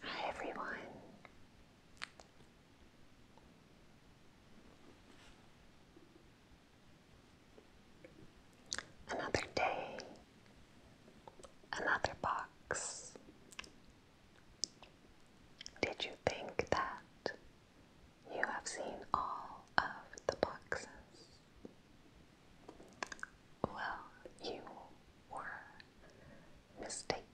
Hi everyone. Another day, another box. Did you think that you have seen all of the boxes? Well, you were mistaken.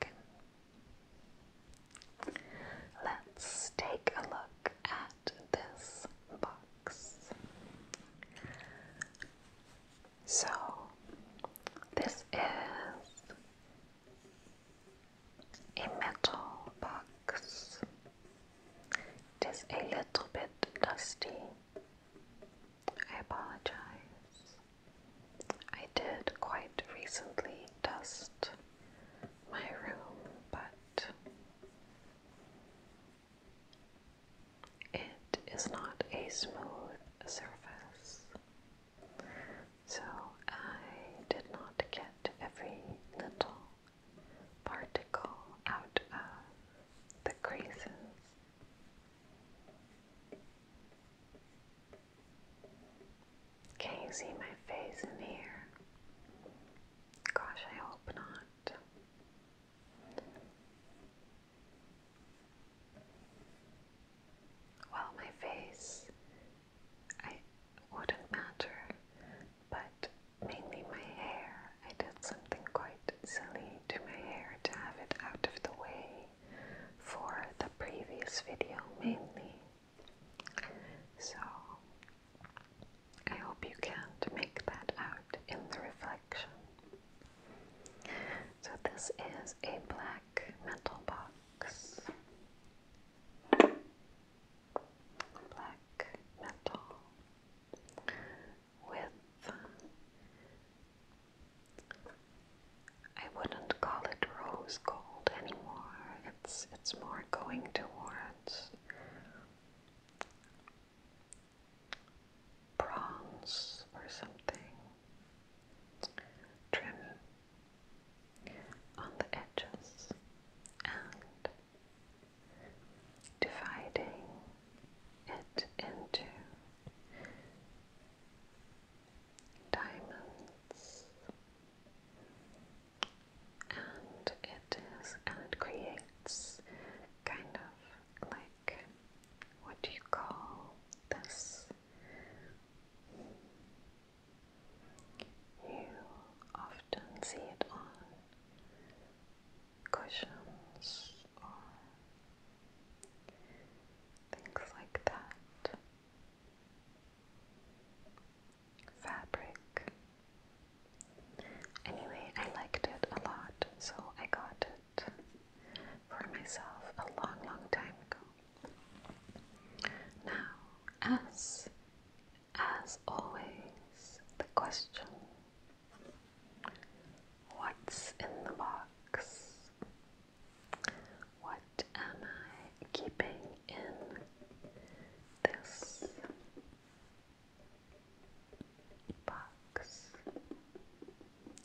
Let's take a look at this box. So, this is a metal box. It is a little bit dusty, I apologize. I did quite recently dust my room, but it is not a smooth surface. So I did not get every little particle out of the creases. Can you see my face in here? Gosh, I hope not. Well, my face, I wouldn't matter, but mainly my hair. I did something quite silly to my hair to have it out of the way for the previous video mainly. So I hope you can't make that out in the reflection. So this is a black metal box. Black metal with. I wouldn't call it rose gold anymore. It's it's more going towards bronze or something. Trim on the edges and dividing it into diamonds, and it is and it creates kind of like what do you call this? You often see it on cushions or Things like that. Fabric. Anyway, I liked it a lot, so I got it for myself a long, long time ago. Now, as as always, the question What's in the box? What am I keeping in this box?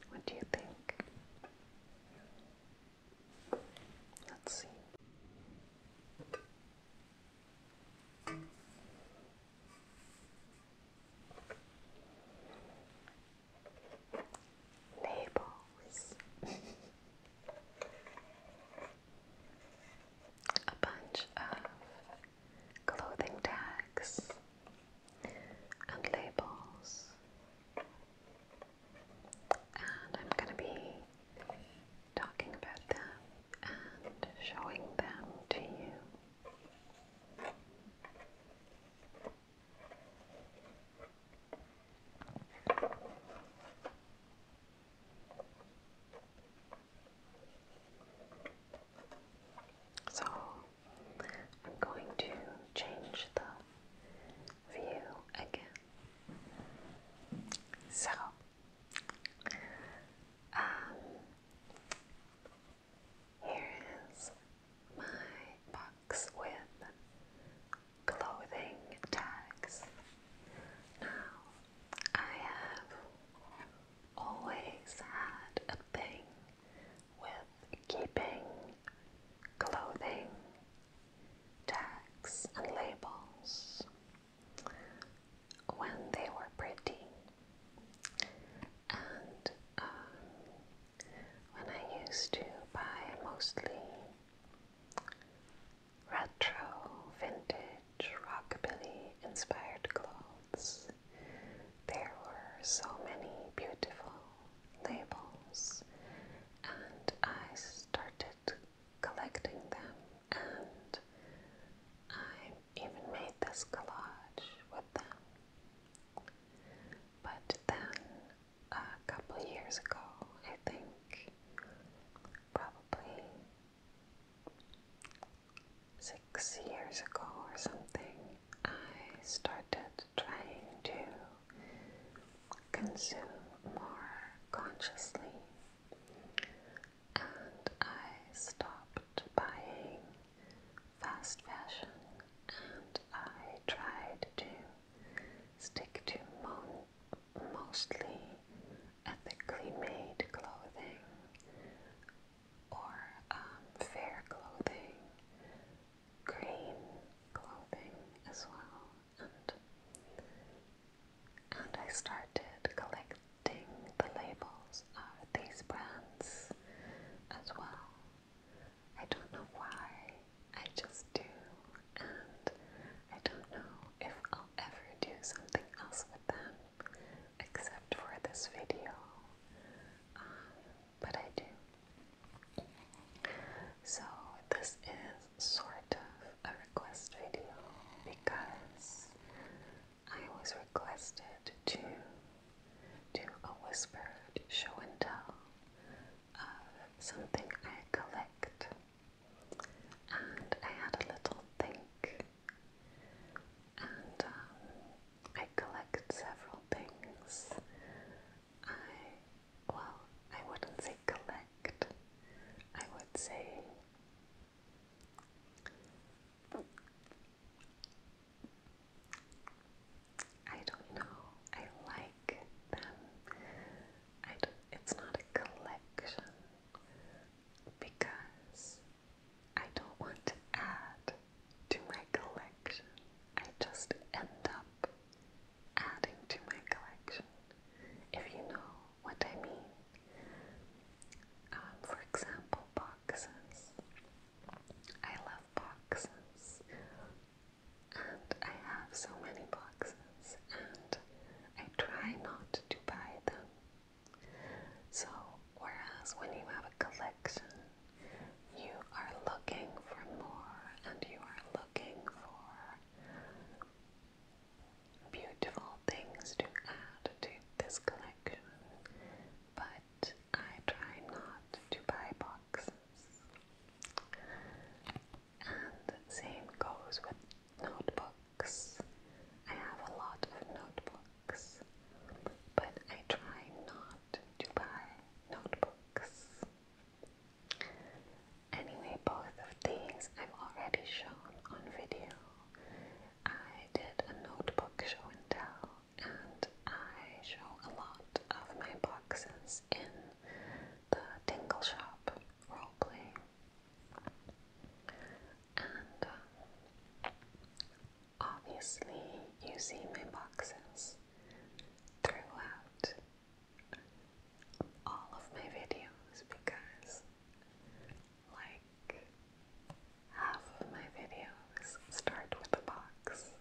What do you think? Let's see. Labels. A bunch of clothing tags and labels. And I'm going to be talking about them and showing them to you. So I'm going to change the view again. So, um, here is my box with clothing tags. Now, I have always had a thing with keeping clothing tags and labels when they were pretty. And um, when I used to buy mostly retro, vintage, rockabilly inspired clothes. There were so many beautiful labels, and I started collecting them, and I even made this collage with them. But then a couple years ago, I think probably six years ago or something, I started trying to consume more consciously and I stopped buying fast fashion and I tried to stick to mostly ethically made clothing or um, fair clothing, green clothing as well, and and I started collecting the labels of these brands as well. I don't know why, I just do, and I don't know if I'll ever do something else with them except for this video, um, but I do. So, this is sort of a request video because I was requested to do a whispered show and tell of something I collect. And I had a little think, and um, I collect several things. I, well, I wouldn't say collect, I would say I don't know. I like them. I don't, it's not a collection because I don't want to add to my collection. I just end up adding to my collection, if you know what I mean. Um, for example, boxes. I love boxes, and I have so many boxes, and I try not to buy them. So, whereas when you have a collection, you are looking for more and you are looking for beautiful things to add to this collection, but I try not to buy boxes. And the same goes with notebooks. I have a lot of notebooks, but I try not to buy notebooks. Anyway, both of these I've already shown on video. I did a notebook show and tell and I show a lot of my boxes in the Tingle Shop roleplay. And um, obviously, you see my boxes throughout all of my videos because, like, half of my videos start with a box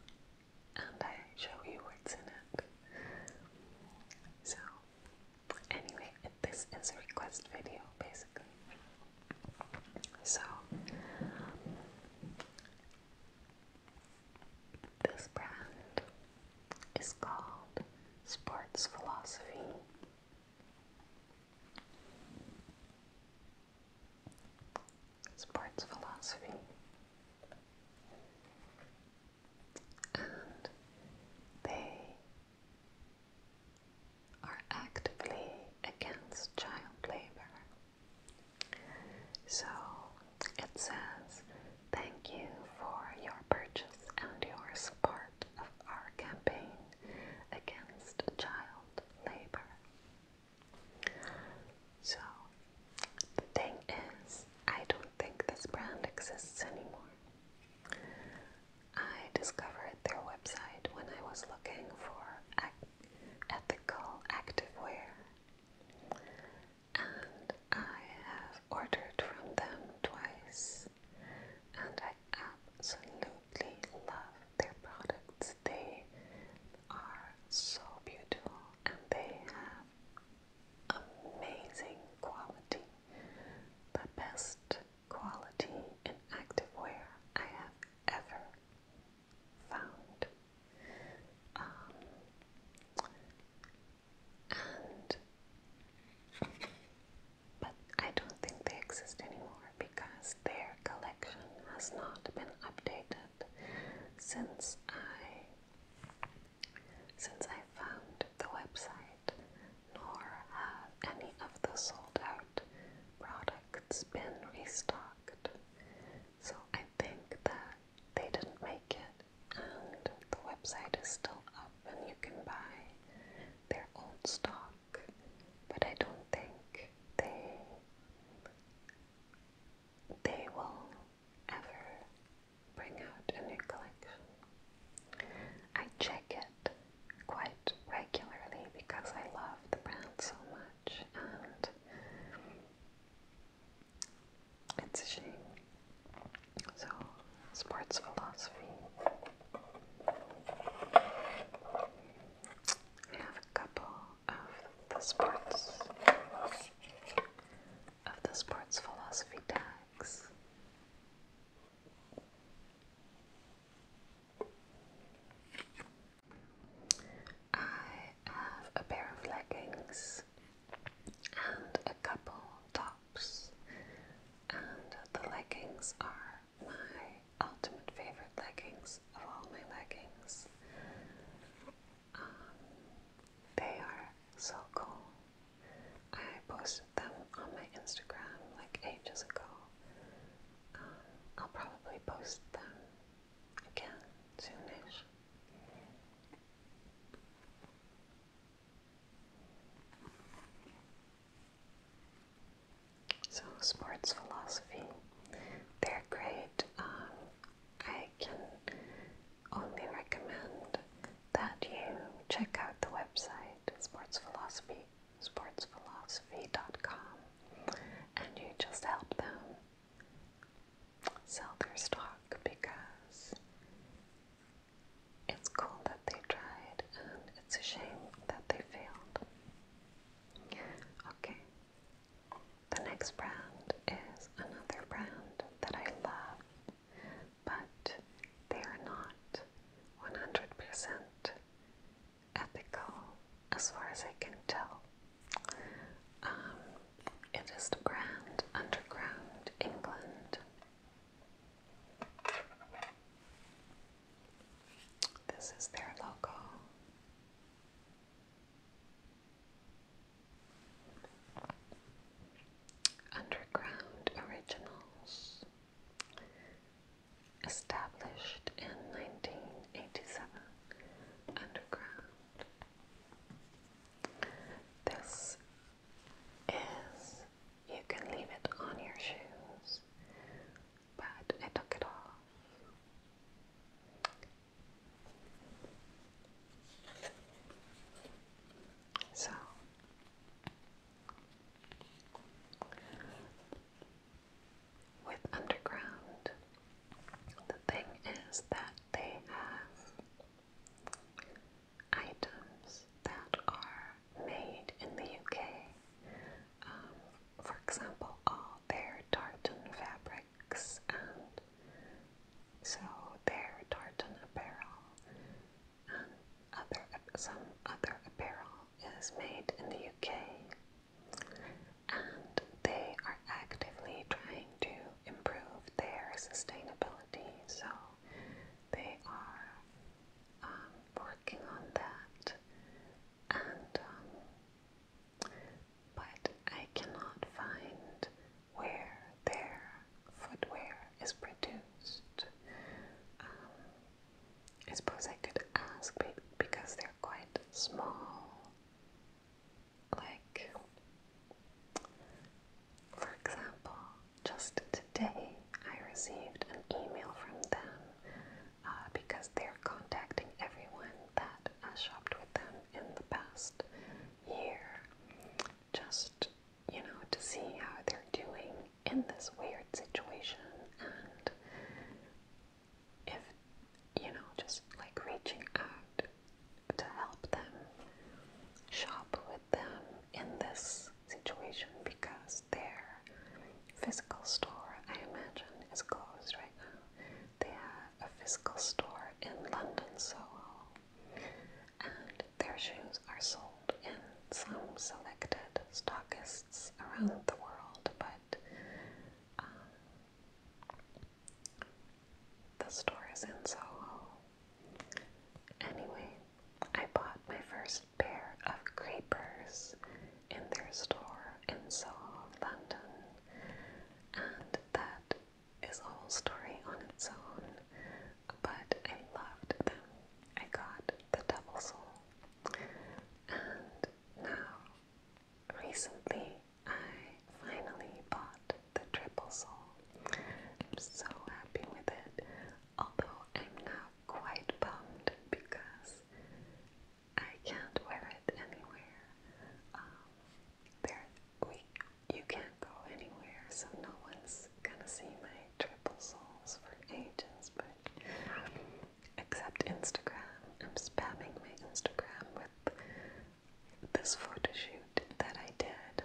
and I show you what's in it. So, anyway, this is a request video basically. So, this brand is called Sports Philosophy sports philosophy, and they are actively against child labor. So it says, Thank you for your purchase and your support of our campaign against child labor. So, the thing is, I don't think this brand exists anymore. I discovered their website when I was looking for ac ethical activewear, and I have ordered from them twice, and I absolutely love their products. They are so beautiful and they have amazing quality. The best quality in activewear I have ever found. Um, and but I don't think they exist anymore because their collection has not been updated since I since I found the website, nor have any of the sold out products been restocked. So I think that they didn't make it and the website is still up and you can buy their old stock, but I don't think they they will ever bring out a new collection. I check it quite regularly because I love the brand so much and it's a shame. So, sports philosophy. I have a couple of the sports of the sports philosophy tags. I have a pair of leggings and a couple tops, and the leggings are my ultimate favorite leggings of all my leggings they are so cool. I posted them on my Instagram like ages ago. I'll probably post them again soonish. So sports philosophy, they're great um, I can only recommend that you check out the website Sports Philosophy, sportsphilosophy.com, and you just help them sell their stock because it's cool that they tried and it's a shame that they failed. Okay, the next brand is another brand that I love, but they are not 100% ethical as far as I can tell. Um, it is the brand Underground England. This is their logo. Underground Originals, established in 1987. Underground. This is, you can leave it on your shoes, but I took it off. So with underground, the thing is that they have items that are made in the UK. Um, for example, all their tartan fabric and so their tartan apparel and other, some other apparel is made in the UK and they are actively trying to improve their sustainability so they are um, working on that and um, but I cannot find where their footwear is produced. Um, I suppose I could ask because they're quite small. Like, for example, just today I received an email from them uh, because they're contacting everyone that has uh, shopped with them in the past year, just you know, to see how they're doing in this weird situation and if you know, just like reaching out to help them shop with them in this situation because their physical store, I imagine, is closed right now. They have a physical store in London, Soho, and their shoes are sold in some selected stockists around the world, but um, the store is in Soho. Anyway, I bought my first pair of creepers in their store in Soho, London, and that is a whole story on its own, but I loved them. I got the Double Soul. And now, recently, I finally bought the Triple Soul. I'm so happy with it, although I'm now quite bummed because I can't wear it anywhere. Um, there we, you can't go anywhere, so no one's gonna see my triple souls for ages, but except Instagram. I'm spamming my Instagram with this photo shoot that I did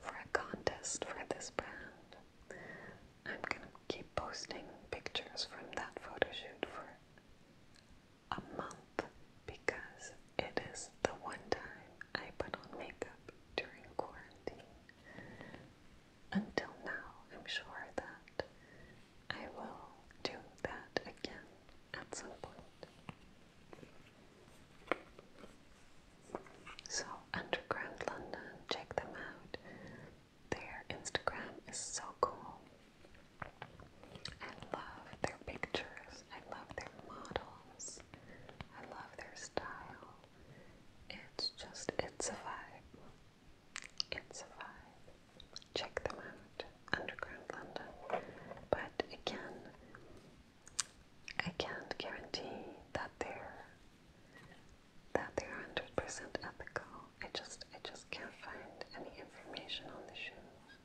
for a contest for this brand. I'm gonna keep posting pictures from that photo shoot for a month because it is the one time I put on makeup during quarantine. Until now, I'm sure that I will do that again at some point. So, Underground London, check them out. Their Instagram is so cool. I love their pictures. I love their models. I love their style. It's just, it's a vibe. It's a vibe. Check them out. Underground London. But again, I can't guarantee that they're that they're hundred percent ethical. I just I just can't find any information on the shoes.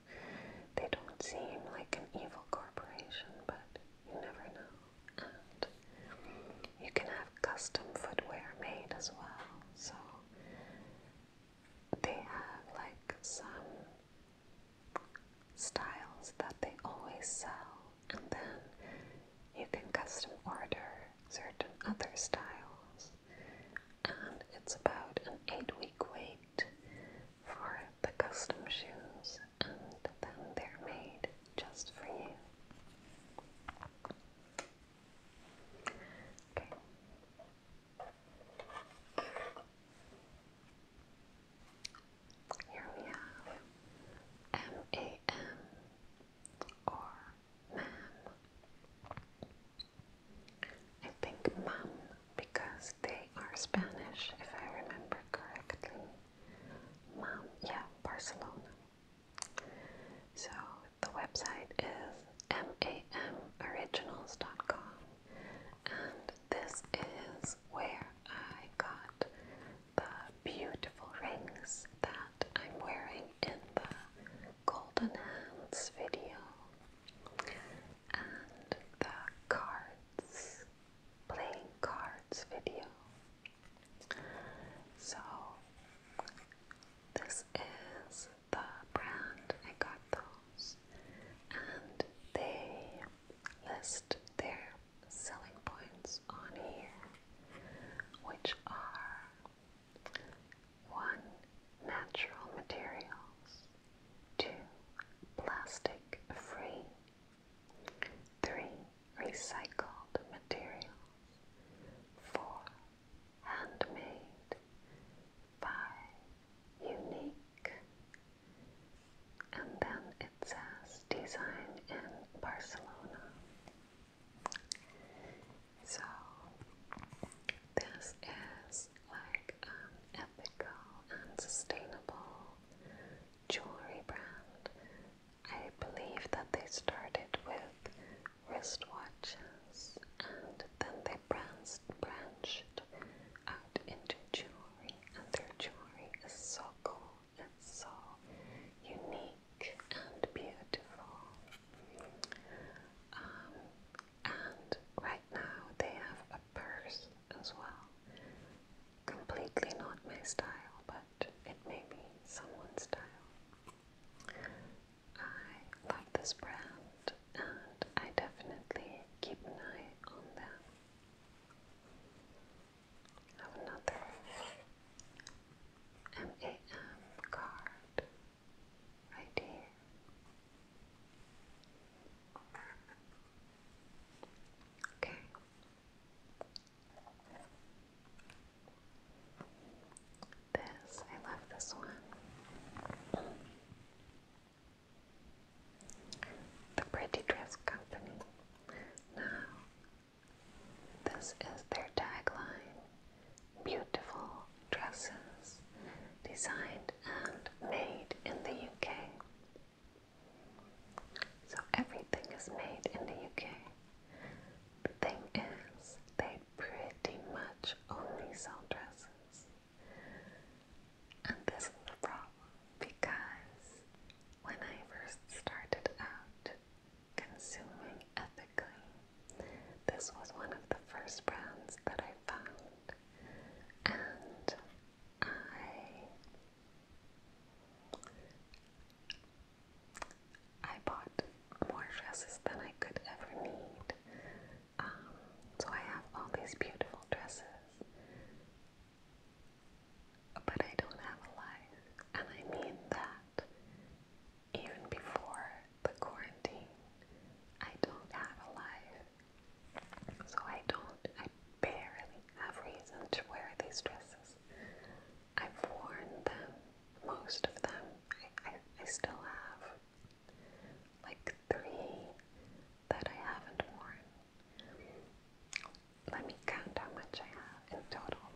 They don't seem like an evil corporation, but you never know. And you can have custom footwear made as well. So they have like some styles that they always sell, and then you can custom order certain other styles and it's about an eight week wait for the custom shoes, and then they're made just for you. Okay. Here we have M-A-M or MAM. I think MAM because they are Spanish, if I remember correctly. Mom, yeah, Barcelona. So the website is mamoriginals.com, and this is where I got the beautiful rings that I'm wearing in the Golden Hands video and the cards, playing cards video. So, this is the brand I got those, and they list their selling points on here, which are 1. Natural materials. 2. Plastic free. 3. Recycled materials. 4. Handmade. 5. Unique. And then it says design in Barcelona. So, this is like um, ethical and sustainable jewelry brand. I believe that they started with wristwatches and then they branched, out into jewelry, and their jewelry is so cool, and so unique and beautiful. Um, and right now they have a purse as well. Completely not my style, but it may be someone's style. I love this brand and I definitely keep an eye on them. Have another MAM card. Okay. This, I love this one. The Pretty Dress Company. Now, this is their tagline Beautiful dresses designed and made in the UK. So everything is made in the UK. The thing is, they pretty much only sell dresses. And this is the problem because when I first started out consuming ethically, this was one of the first brands that I found and I I bought more dresses than I could ever need. Um, so I have all these beautiful dresses, but I don't have a life, and I mean that even before the quarantine, I don't have a life. So I don't, I barely have reason to wear these dresses. I've worn them, most of them. I, I, still have like three that I haven't worn. Let me count how much I have in total.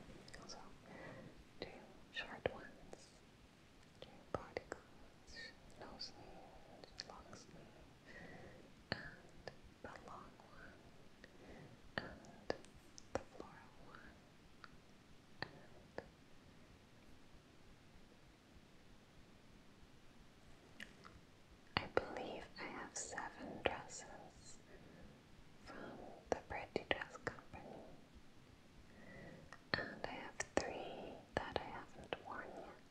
So, two short ones, hair particles, no sleeve, and the long one, and the floral one, I believe I have seven dresses from the Pretty Dress Company. And I have three that I haven't worn yet.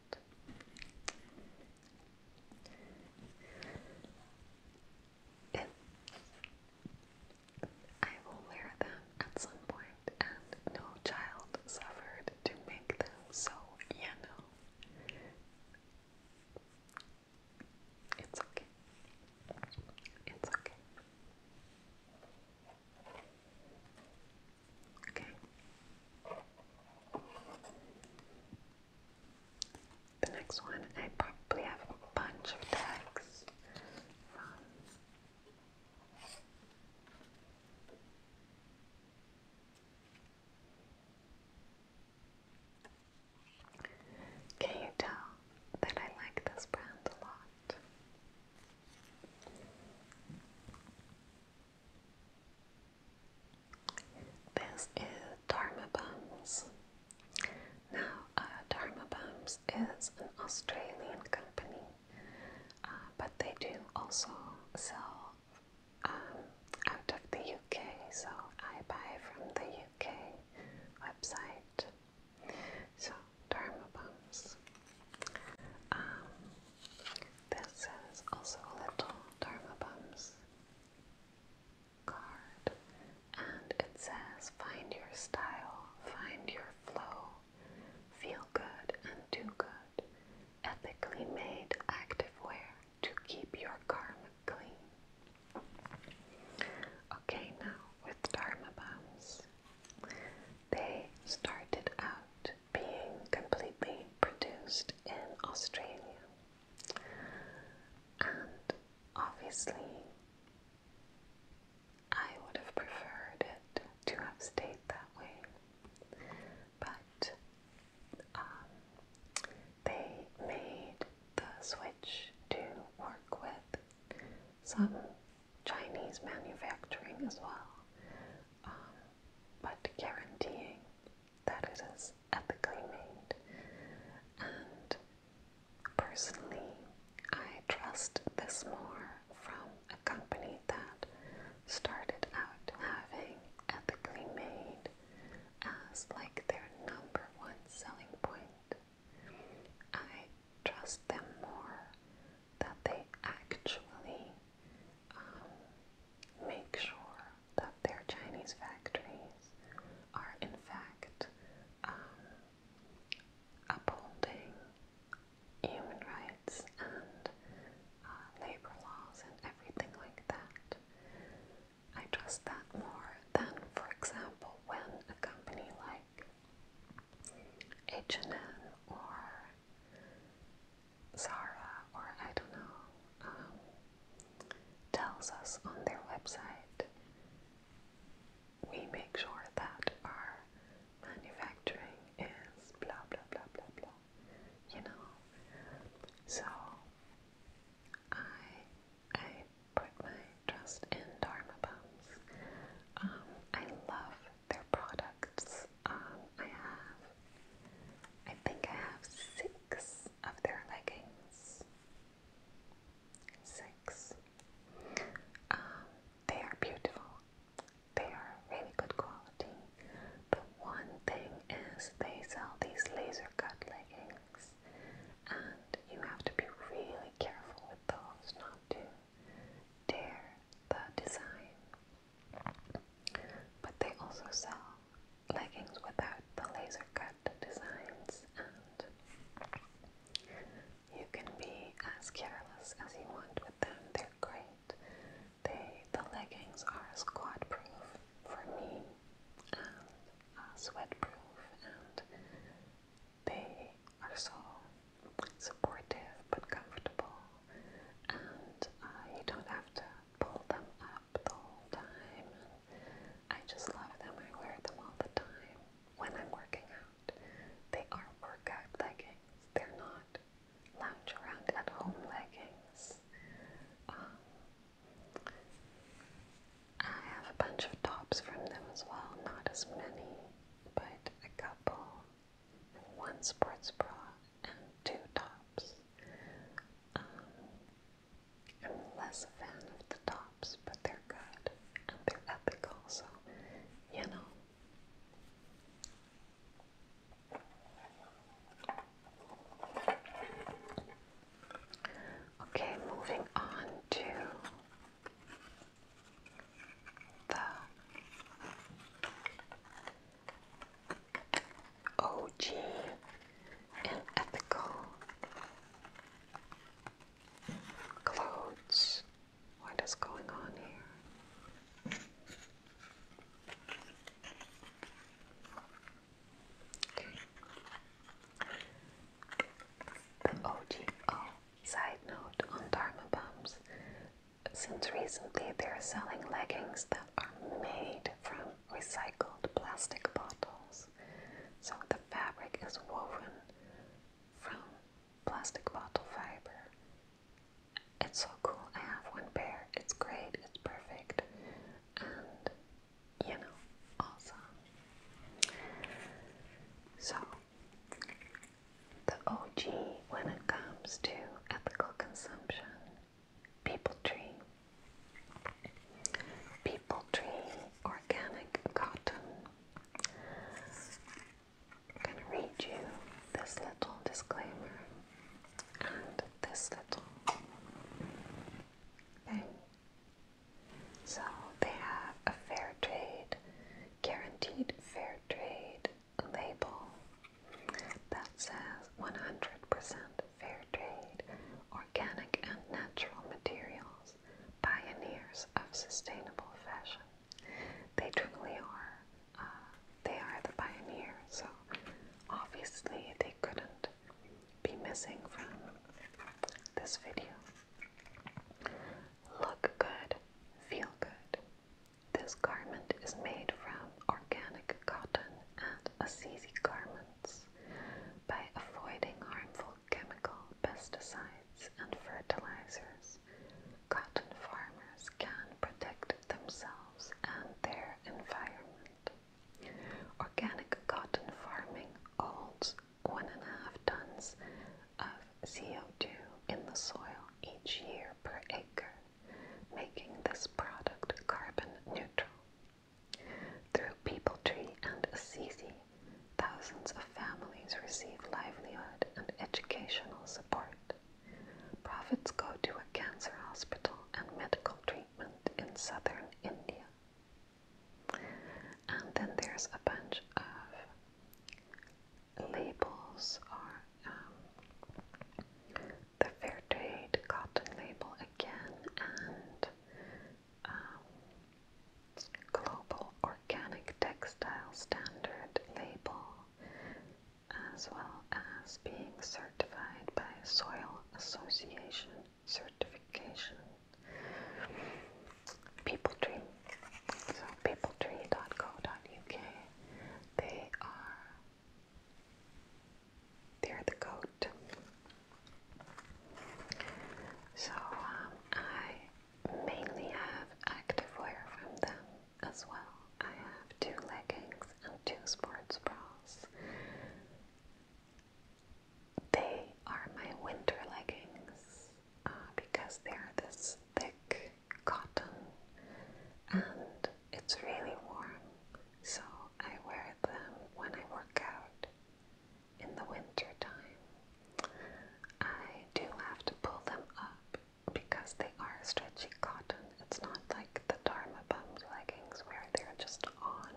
I will wear them at some point, and no child suffered to make them, so you It's okay. It's okay. Okay. The next one, I probably have a bunch of tags Can you tell that I like this brand a lot? This is Dharma Bums. Now, uh, Dharma Bums is an Australian company, uh, but they do also sell um, out of the UK, so I buy from the UK website. So, Dharma Bums. Um, this is also a little Dharma Bum's card, and it says, Find your style, find your flow, feel good and do good, ethically made active wear to keep your karma clean. Okay, now with Dharma Bums, they started out being completely produced in Australia. And obviously, I would have preferred it to have stayed that way. But um, they made the switch to work with some Chinese manufacturing as well. Um, but guaranteeing that it is ethically made. And personally, I trust this more from a company that started out having ethically made as like their number one selling point. I trust them more that they actually um, make sure that their Chinese factories are in fact um, upholding human rights and uh, labor laws and everything like that. I trust that more than, for example, when a company like H&M or Zara or I don't know um, tells us on their website, we make sure that our manufacturing is blah blah blah blah blah. You know, so I I put my trust in Dharma Bums. Um, I love their products um, I have, I think I have six of their leggings. Six. Um, they are beautiful. They are really good quality. But one thing is they sell these laser cut leggings, and you have to be really careful with those not to tear the design. But they also sell leggings without the laser cut designs, and you can be as careless as you want with them. They're great. They the leggings are squat proof for me, uh, sweat proof, and they are so supportive but comfortable and you don't have to pull them up the whole time. I just love them. I wear them all the time when I'm working out. They are workout leggings. They're not lounge around at home leggings. Um, I have a bunch of tops from them as well. Not as many, but a couple one sports bra and two tops. Um, I'm less a fan of the tops, but they're good and they're ethical, so you know. Okay, moving on to the OG and ethical clothes. What is going on here? Okay. The OG. Oh, side note on Dharma Bums since recently they're selling leggings that are made from recycled plastic bottles. So the fabric is woven from plastic bottle fiber. It's so cool. I have one pair. It's great. It's perfect. And you know, awesome. So the OG when it comes to ethical consumption People Tree. People Tree Organic Cotton. I'm going to read you this little disclaimer and this little thing. So they have a fair trade, guaranteed fair trade label that says 100% fair trade, organic and natural materials, pioneers of sustainable fashion. They truly are. Uh, they are the pioneers, so obviously they couldn't be missing from this video. Look good, feel good. This garment is made from organic cotton and Assisi garments. By avoiding harmful chemical pesticides and fertilizers, cotton farmers can protect themselves and their environment. Organic cotton farming holds one and a half tons of CO2 in the soil each year per acre making this product carbon neutral. Through People Tree and Assisi, thousands of families receive livelihood and educational support. Profits go to a cancer hospital and medical treatment in southern India. And then there's a bunch of labels are the fair trade cotton label again and um, global organic textile standard label as well as being certified by soil association certification people tree so peopletree.co.uk they are they're the coat. So um, I mainly have activewear from them as well. I have two leggings and two sports bras. They are my winter leggings uh, because they are this thick cotton and it's really warm, so I wear them when I work out in the winter time. I do have to pull them up because they are stretchy cotton. It's not like the Dharma bum leggings where they're just on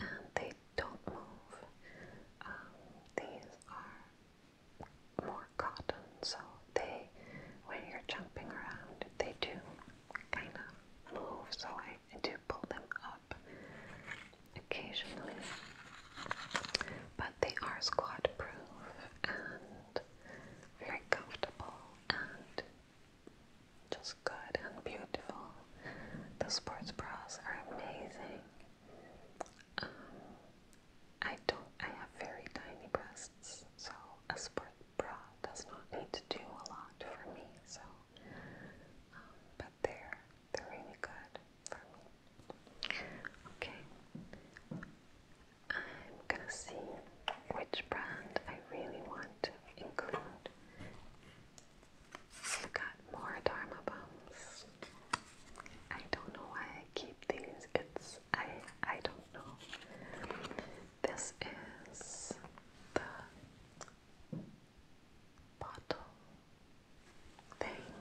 and they don't move. Um, these are more cotton, so they, when you're jumping around, they do kind of move, so I, do pull them up occasionally. But they are squat proof and very comfortable and just good and beautiful. The sports bras are amazing. Um, I don't. I have very tiny breasts, so a sport bra does not need to do a lot for me, so um, but they they're really good for me. Okay. I'm gonna see which brand I really want to include. I've got more Dharma bums. I don't know why I keep these. It's I I don't no. This is the bottle thing.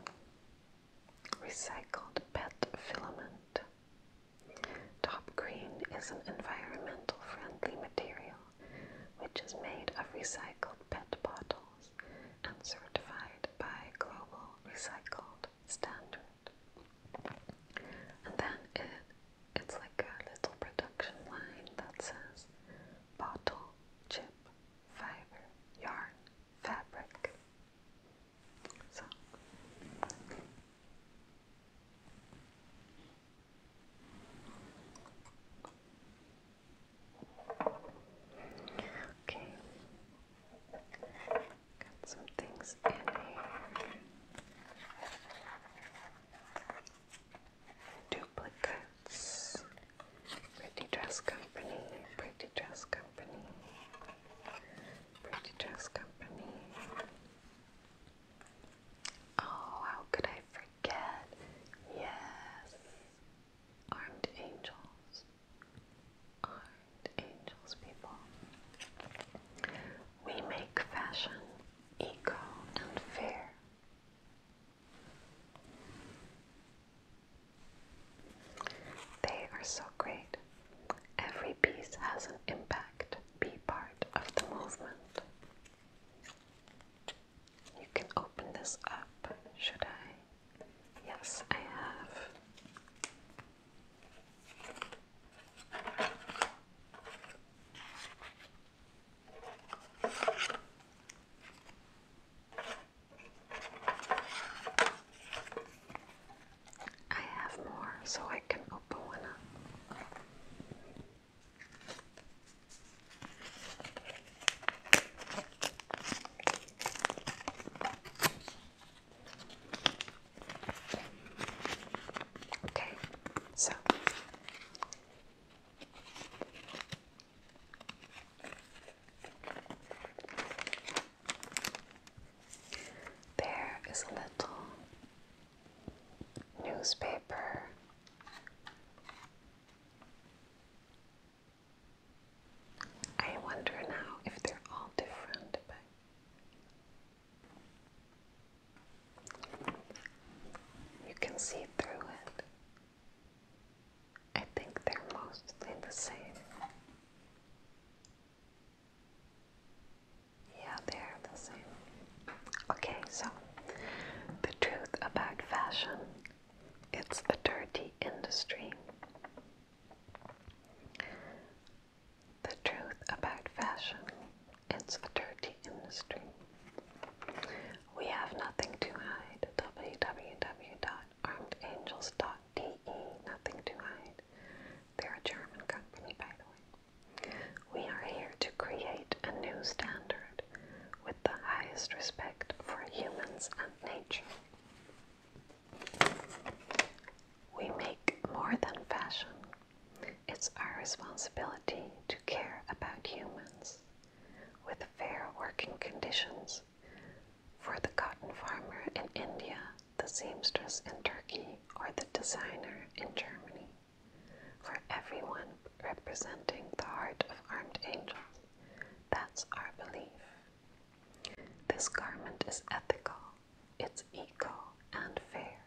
Recycled PET filament. Top Green is an environmental friendly material which is made of recycled PET bottles and certified by Global Recycled Standards. And then it it's like a little production line that says bottle, chip, fiber, yarn, fabric. Okay. Got some things in here. Duplicates. Pretty Dress Company. Pretty Dress Company. Pretty Dress Company. Oh, how could I forget? Yes. Armed Angels. Armed Angels, people. We make fashion eco and fair. They are so great. Every piece has an impact. Be part of the movement. You can open this up, should I? Yes, I have. I have more, so I can open one up. Okay, so there is a little newspaper. I wonder now if they're all different, but you can see through it. I think they're mostly the same. Yeah, they're the same. Okay, so the truth about fashion it's a dirty industry. The truth about fashion, it's a dirty industry. We have nothing to hide. www.armedangels.de. Nothing to hide. They're a German company, by the way. We are here to create a new standard with the highest respect for humans and nature. We make more than fashion. It's our responsibility to care about humans with fair working conditions for the cotton farmer in India, the seamstress in Turkey, or the designer in Germany. For everyone representing the heart of armed angels, that's our belief. This garment is ethical it's eco and fair.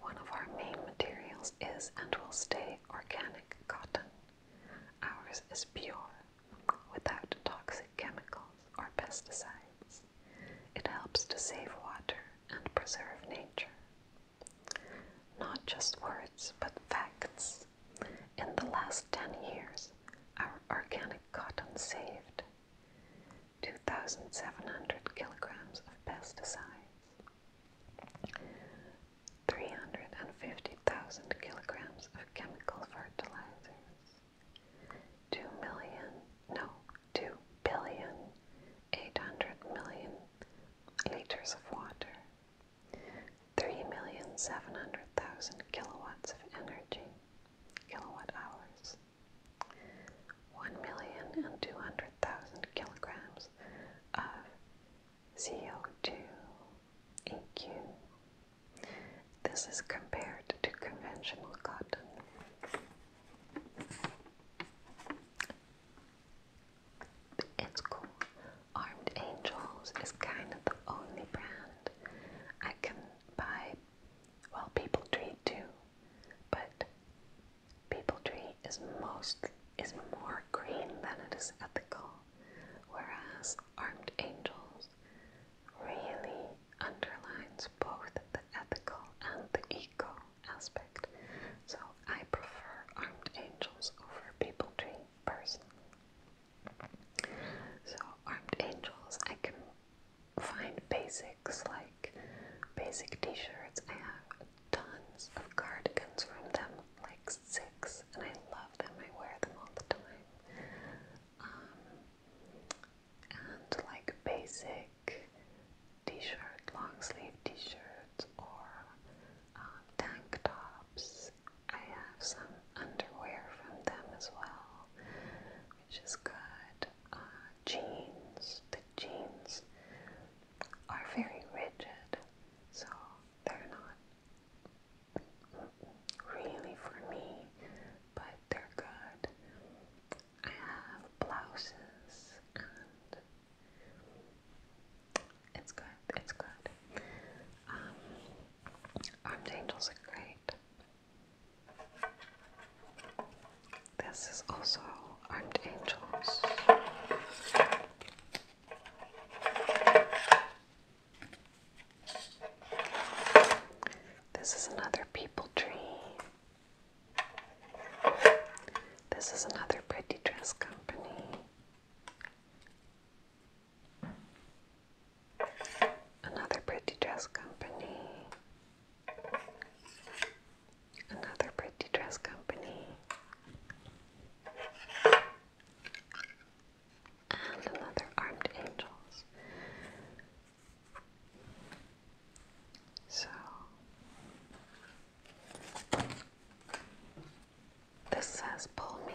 One of our main materials is and will stay organic cotton. Ours is pure, without toxic chemicals or pesticides. It helps to save water and preserve nature. Not just words, but facts. In the last 10 years, our organic cotton saved 2,700 kilograms of pesticides, 350,000 kilograms of chemical fertilizers, 2 million, no, 2 billion, 800 million liters of water, 3,700,000 kilowatts of energy, kilowatt hours, 1,200,000 kilograms of CO2 EQ. This is compared to conventional cotton. It's cool. Armed Angels is kind of the only brand I can buy well, people tree too, but people tree is most is more green than it is ethical, whereas armed angels really underlines both the ethical and the eco aspect. So I prefer armed angels over people tree personally. So armed angels I can find basics like basic t-shirts. I have tons of cardigans from them, like six, and I love them. I wear them all the time. Um, and like basic t-shirt, long sleeve t-shirts, or um, tank tops. I have some underwear from them as well, which is good. Jeans. the jeans are very rigid, so they're not really for me, but they're good. I have blouses and it's good, it's good. Um, Angels are great. This is also Armed Angels. This is another people tree. This is another pretty dress company. Another pretty dress company. Another pretty dress company. And another armed angels. So this says pull me.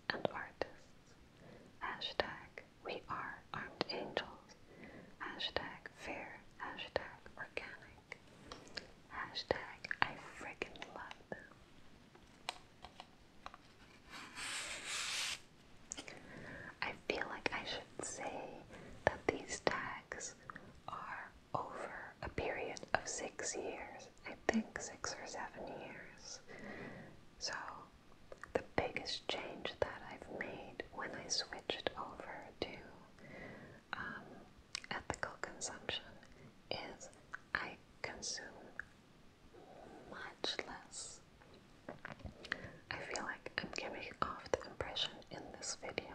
and artists. Hashtag we are armed angels. Hashtag fair. Hashtag organic. Hashtag I freaking love them. I feel like I should say that these tags are over a period of six years I think, six or seven years. So, the biggest change that I've made when I switched over to um, ethical consumption is I consume much less. I feel like I'm giving off the impression in this video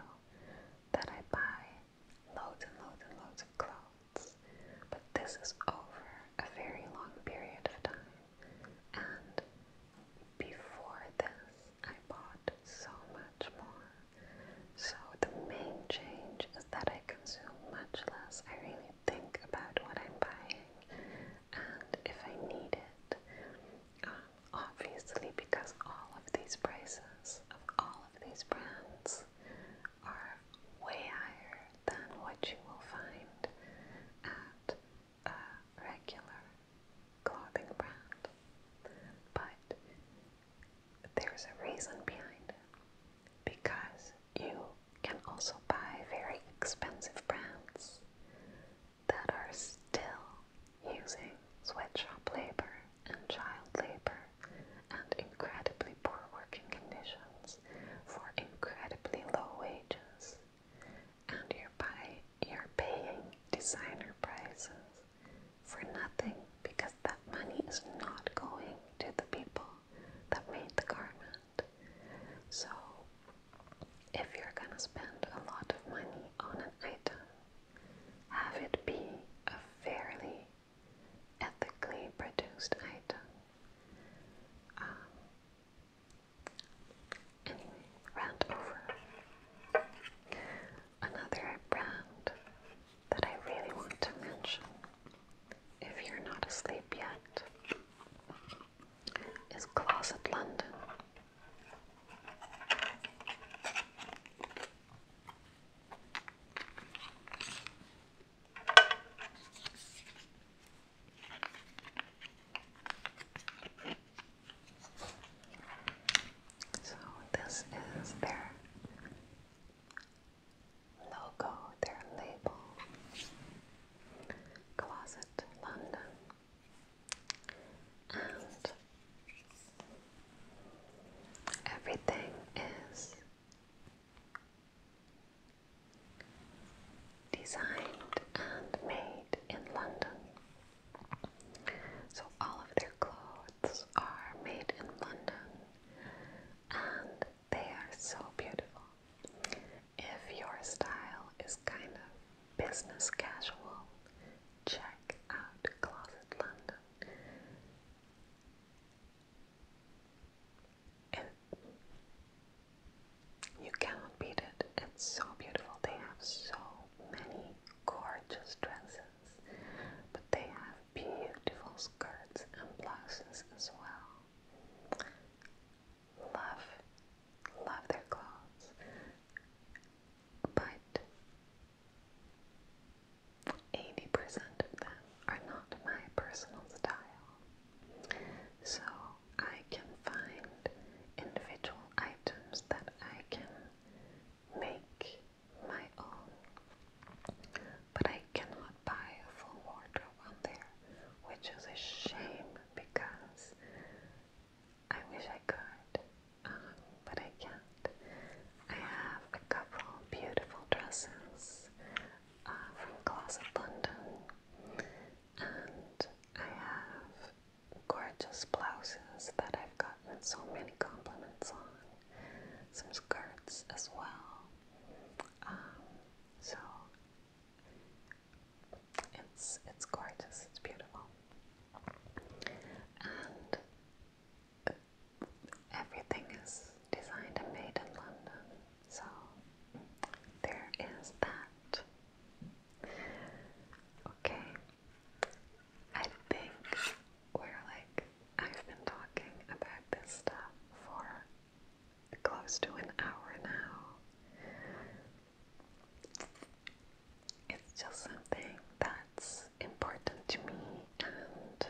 that I buy loads and loads and loads of clothes but this is over a very long period of time. And before this, I bought so much more. So the main change is that I consume much less. I really think about what I'm buying and if I need it. Um, obviously, because all of these prices of all of these brands are way higher than what you will find at a regular clothing brand. But there's a reason behind it because you can also buy very expensive brands that are still using sweatshop labor and child labor and incredibly poor working conditions for incredibly low wages, and you're, you're paying designer prices for nothing because that money is not going to the people that made the garment. So, if you're gonna spend a lot of money on an item, have it be a fairly ethically produced item. Um, anyway, round over. Another brand that I really want to mention, if you're not asleep yet, is Closet London. So this is their logo, their label. Closet London. And everything is designed and made in London. So all of their clothes are made in London and they are so beautiful. If your style is kind of business casual, check out Closet London you cannot beat it. It's so beautiful. They have so many gorgeous dresses, but they have beautiful skirts and blouses as well. Love, love their clothes, but 80% of them are not my personal style. So I can find individual items that I can make my own. But I cannot buy a full wardrobe on there, which is a shame because I wish I could, um, but I can't. I have a couple beautiful dresses uh, from class of London, and I have gorgeous blouses that I've gotten so many compliments on, some skirts as well. Um, so it's it's gorgeous, it's beautiful, and. Everything is designed and made in London, so there is that. Okay. I think we're like I've been talking about this stuff for close to an hour now. It's just something that's important to me and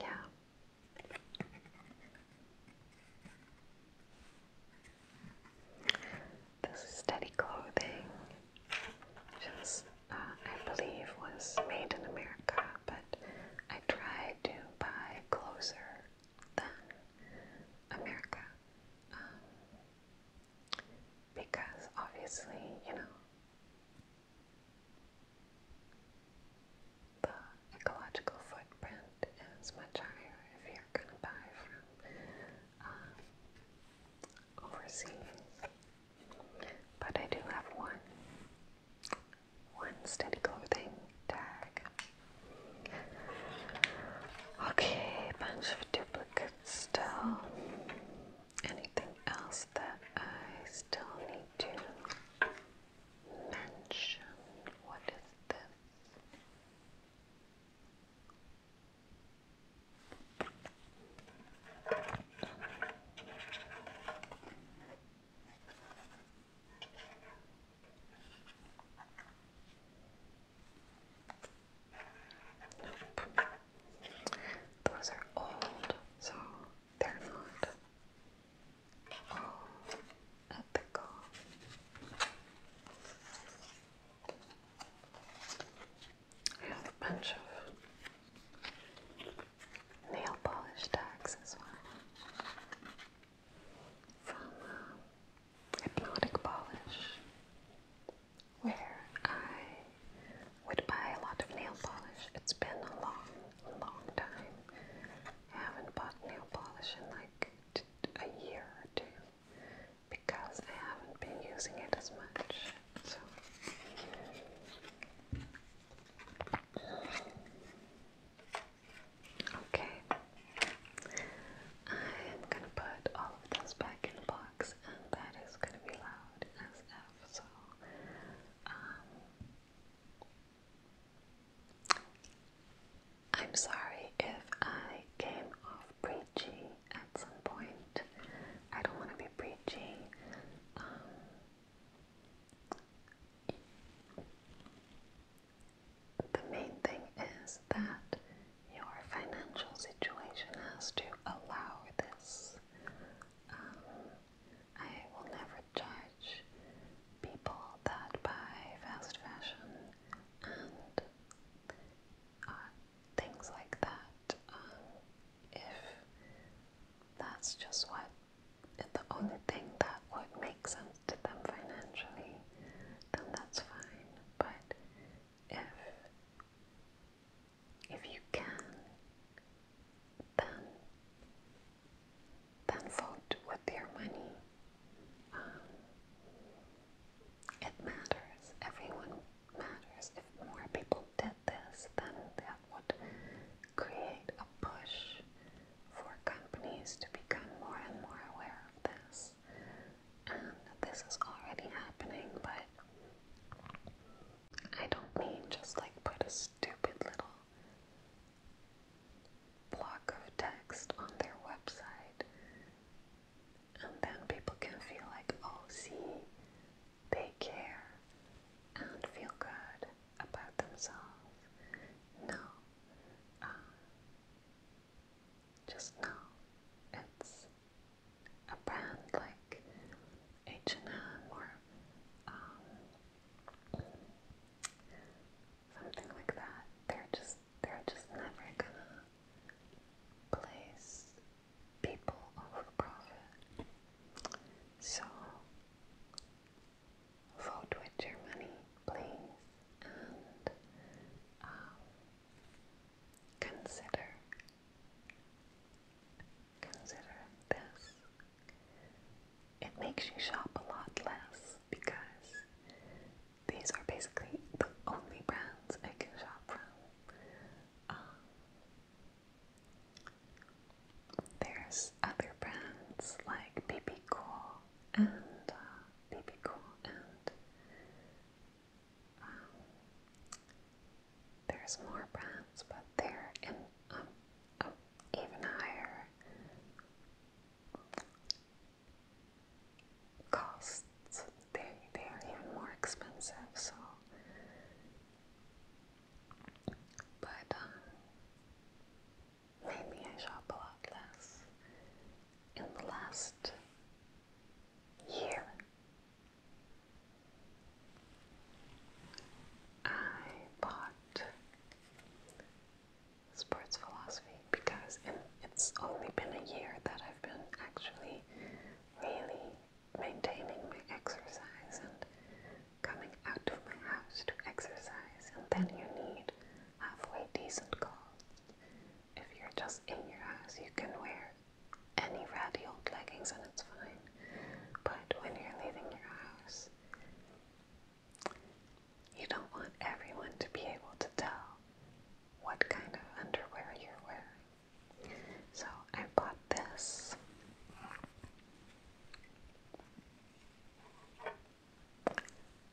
yeah. This steady clothing, just uh, I believe was made in America, but I tried to buy closer than America. Um, because obviously, you know, the ecological footprint is much higher if you're going to buy from um, overseas. But I do have one, one steady clothing tag. Okay, bunch of duplicates still anything else that I still need to mention? What is this? Those are old, so they're not ethical. I have a bunch of nail polish tags as well from uh, Polish where I would buy a lot of nail polish. It's been a long, long time. haven't bought nail polish in like a year or two because I haven't been using it as much. So. Okay, I'm gonna put all of this back in the box that is gonna be loud as F. So, um, I'm sorry if I came off preachy at some point. I don't want to be preachy. Um, the main thing is that your financial situation has to allow this. Um, I will never judge people that buy fast fashion and uh, things like that um, if that's just what the only thing that would make sense to them financially, then that's fine. But if if you can, then, then vote with your money. Um, it matters. Everyone matters. If more people did this, then that would create a push for companies to become more and more aware of this and this is already happening, but I don't mean just like put a stupid little block of text on their website and then people can feel like, oh, see, they care and feel good about themselves. No, uh, just no. It's a brand like H&M or um, something like that. They're just they're just never gonna place people over profit. So vote with your money, please, and um, consider Consider this. It makes you shop a lot less because these are basically the only brands I can shop from. Um, there's other brands like BB Cool and BB uh, Cool and there's more brands, but they're in um, oh, even higher costs. They they are even more expensive. So, but um, maybe I shop a lot less in the last you. I bought Sports Philosophy because it's only been a year that I've been actually really maintaining my exercise and coming out of my house to exercise, and then you need halfway decent clothes. If you're just in your house, you can wear any ratty old leggings and it's fine. But when you're leaving your house, you don't want everyone to be able to tell what kind of underwear you're wearing. So I bought this.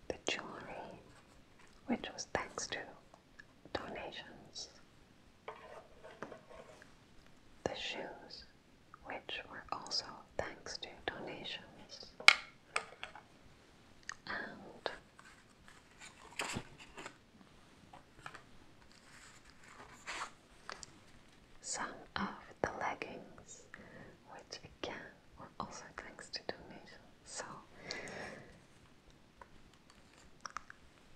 The jewelry, which was thanks to donations. The shoes, which were also thanks to donations, and some of the leggings, which again were also thanks to donations. So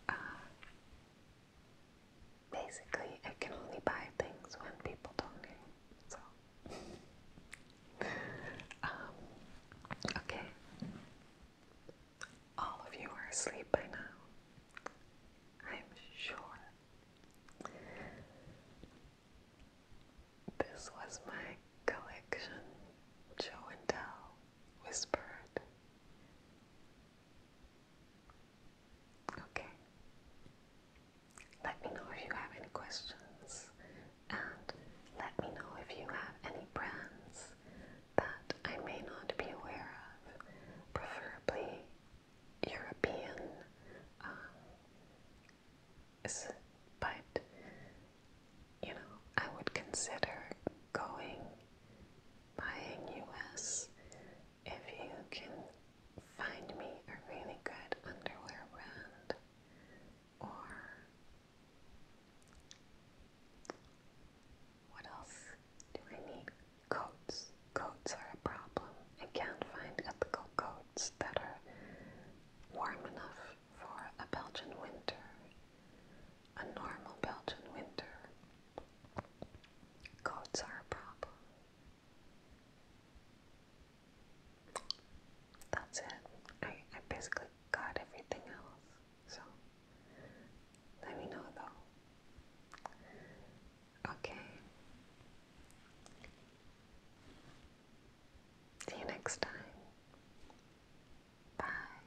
uh, basically, I can only buy things when people donate. So, um, okay. All of you are asleep by now. I'm sure. This was my collection, show and tell, whispered Okay. Let me know if you have any questions and let me know if you have any brands that I may not be aware of, preferably European, um, but you know, I would consider going buying US if you can find me a really good underwear brand or what else do I need? Coats. Coats are a problem. I can't find ethical coats that are warm enough for a Belgian winter, a normal Belgian winter. Coats are a problem. That's it. I, I basically got everything else. So, let me know though. Okay. See you next time. Bye.